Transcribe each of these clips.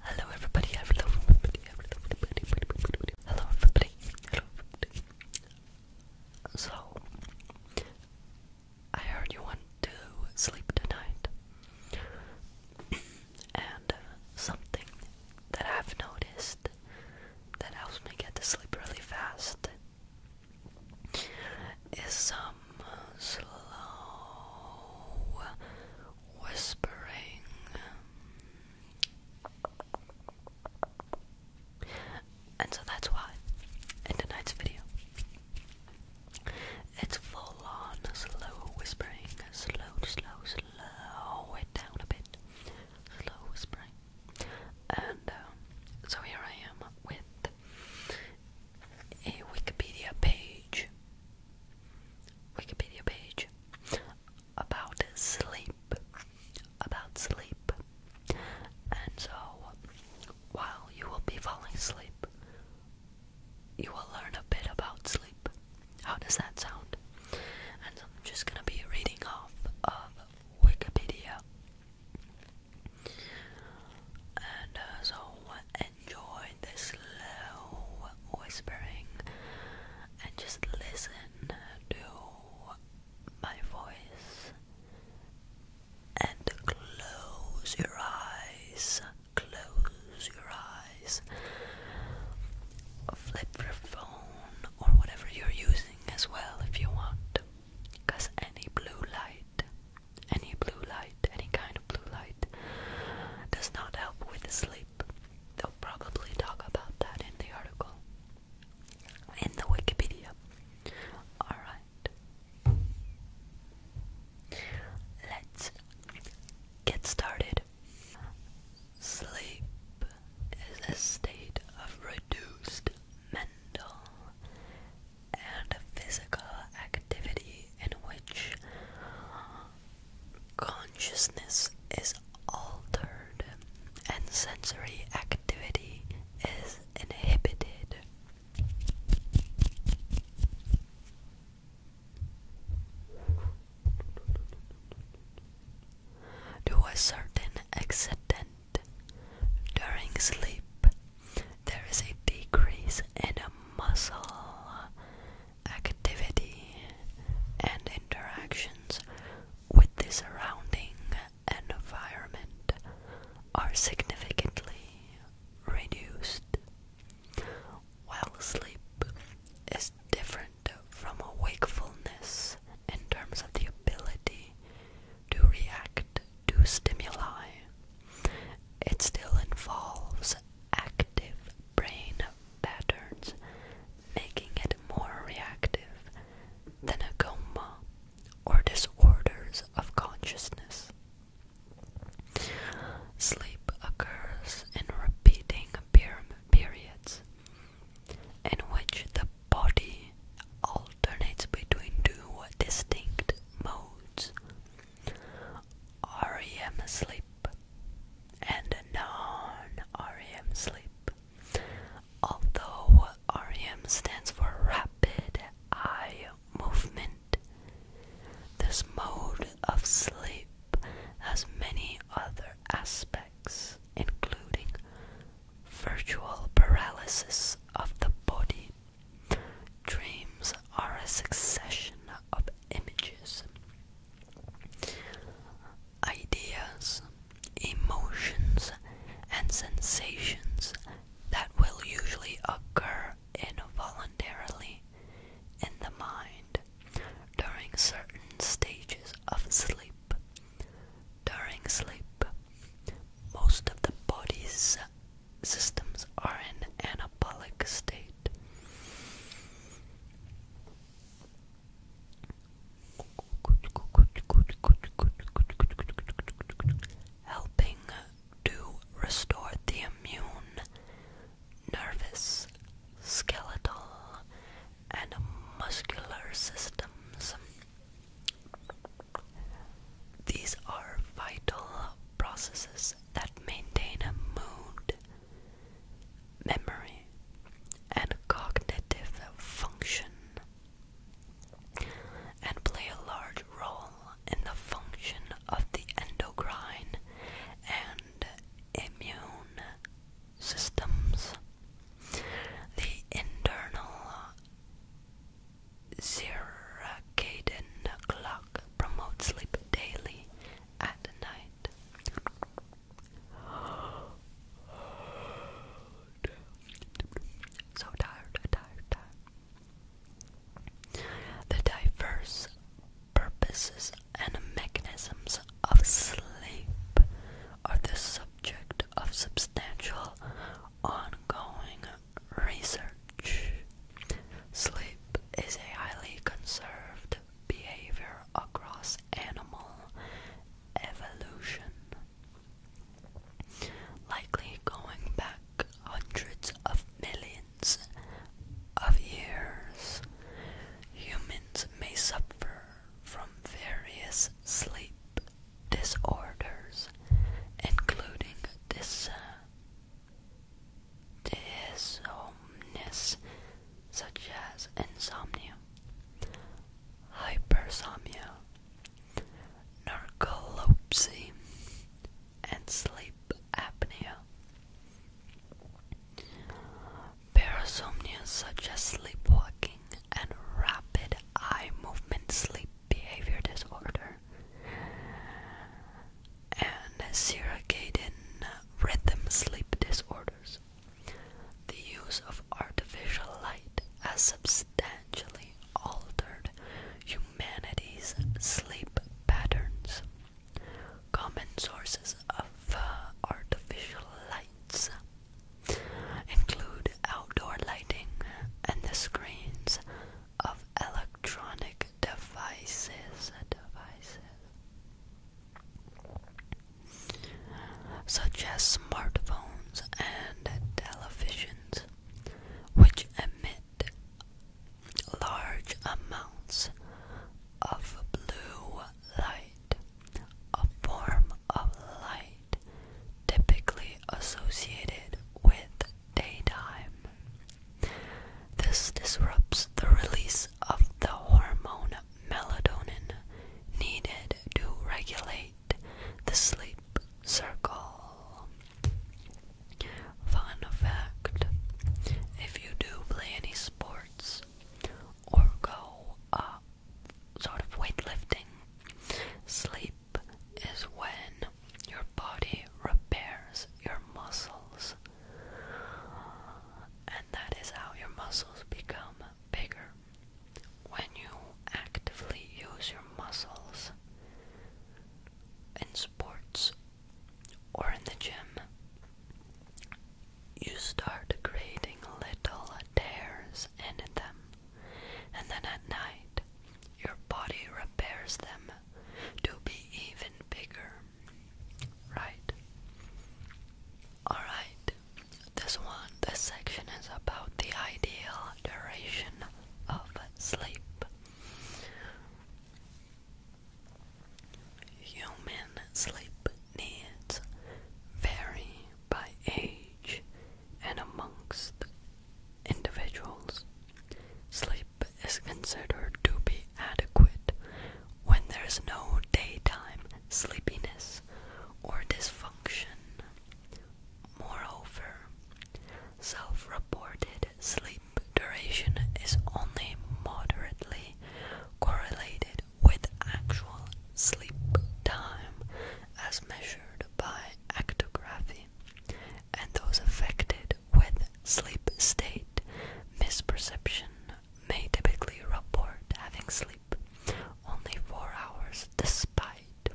Hello everybody, hello everybody, hello everybody, hello everybody, So, I heard you want to sleep tonight. And uh, something that I've noticed that helps me get to sleep really fast is some uh, slow whispering. And so that's why, in tonight's video, it's full on slow whispering. Slow, slow, slow it down a bit. Slow whispering. And uh, so here I am with a Wikipedia page Wikipedia page about sleep. About sleep. And so, while you will be falling asleep, you will learn a bit about sleep. How does that sound? And I'm just gonna be reading off of Wikipedia. And uh, so, enjoy this slow whispering and just listen to my voice and close your eyes, close your eyes, flip your phone or whatever you're using as well if you want any blue light any blue light, any kind of blue light, does not help with sleep. They'll probably talk about that in the article, in the Wikipedia. Alright. Let's get started. Sleep is a state of reduced mental and physical activity in which consciousness is altered and sensory activity is inhibited. To a certain accident during sleep, there is a decrease in muscle activity and interactions with the surrounding environment are significantly reduced. While sleep is different from wakefulness in terms of the ability to react to stimuli. It still involves active brain patterns, making it more reactive than a coma or disorders of consciousness. Sleep occurs in repeating periods in which the body alternates between two distinct modes REM sleep and non REM sleep. Although REM stands for rapid eye movement, this mode of sleep has many other aspects, including virtual paralysis of the body. Dreams are a succession of images, ideas, emotions, and sensations that will usually occur involuntarily in the mind during certain stages of sleep during sleep, most of the body's systems are in anabolic state. Helping to restore the immune, nervous, skeletal, and muscular systems. These are vital processes that maintain a mood, memory, and cognitive function, and play a large role in the function of the endocrine and immune systems. The internal circadian clock promotes sleep daily at night. So tired, tired, tired. The diverse purposes and mechanisms of sleep are the subject of substantial ongoing research. Sleep is a highly conserved behavior across animal evolution, likely going back hundreds of millions of years. Humans may suffer from various sleep disorders, including dys dysomnus, such as insomnia, hypersomnia, narcolepsy, and sleep apnea. Parasomnia such as sleepwalking and rapid eye movement sleep behavior disorder and circadian rhythm sleep disorders. The use of artificial light has substantially altered humanity's sleep patterns. Common sources of uh, artificial lights include outdoor lighting and the screens of electronic devices such as smartphones and televisions which emit large amounts of blue light, a form of light typically associated with daytime. This disrupts the release of the hormone melatonin needed to regulate the sleep cycle. Fun fact if you do play any sport, or go uh, sort of weightlifting. Sleep is when your body repairs your muscles, and that is how your muscles become bigger. When you actively use your muscles in sports or in the gym, you start creating little tears in them, and then at night, your body repairs them to be even bigger. Right? Alright, this one, this section is about the ideal duration of sleep. Human sleep needs vary by age and amongst individuals. Sleep is considered to be adequate when there is no daytime sleepiness or dysfunction. Moreover, self reported sleep duration is only moderately correlated with actual sleep time as measured by actography, and those affected with sleep state misperception may typically report having sleep only four hours despite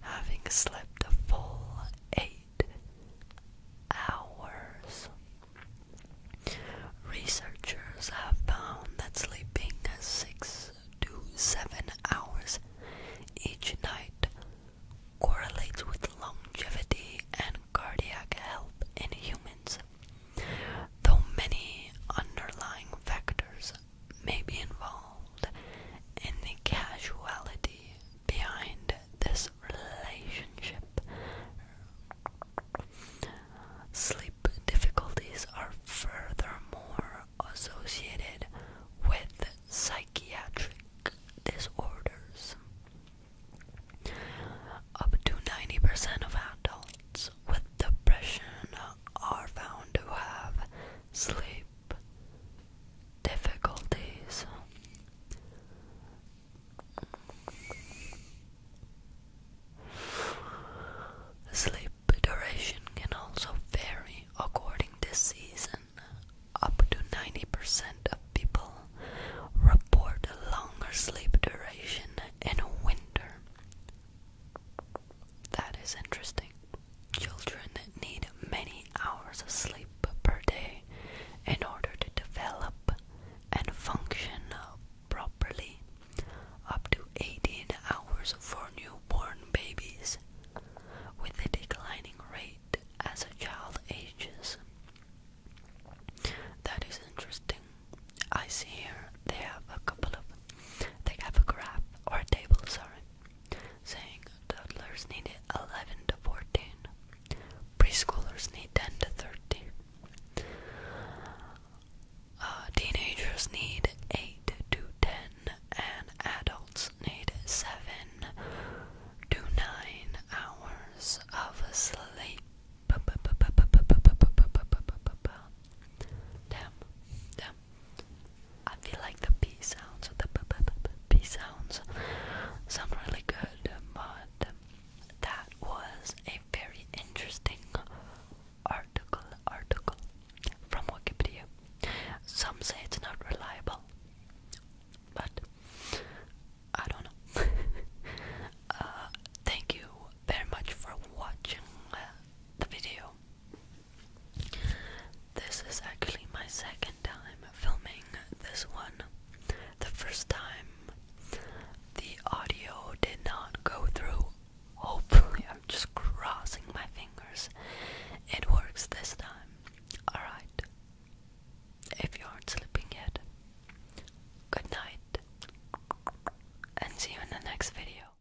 having slept a full eight hours. Researchers have found that sleeping six to seven hours each night correlates with longevity and cardiac health in humans, though many underlying factors may be involved in the causality behind this relationship. Sleep difficulties are furthermore associated with psychiatric disorders. Up to 90% of adults with depression are found to have sleep sleep difficulties. Sleep duration can also vary according to season. Up to 90% of people report a longer sleep duration in winter. That is interesting. Children need many hours of sleep per day in order to develop and function properly, up to 18 hours for newborn babies, with a declining rate as a child ages. That is interesting. I see here they have a couple of they have a graph or a table, sorry, saying toddlers need 11 to 14, preschoolers need 10 to 13, uh, teenagers need 8 to 10, and adults need 7 to 9 hours of sleep. Damn, damn, I feel like the p sounds, the p p p p, p sounds, sound really good. But that was a very interesting article, article from Wikipedia. Some say it's not reliable, but I don't know. Uh, thank you very much for watching uh, the video. This is actually my second time filming this one. The first time the audio did not go through. Hopefully, I'm just crossing my fingers. It works this time. Alright. If you aren't sleeping yet, good night. And see you in the next video.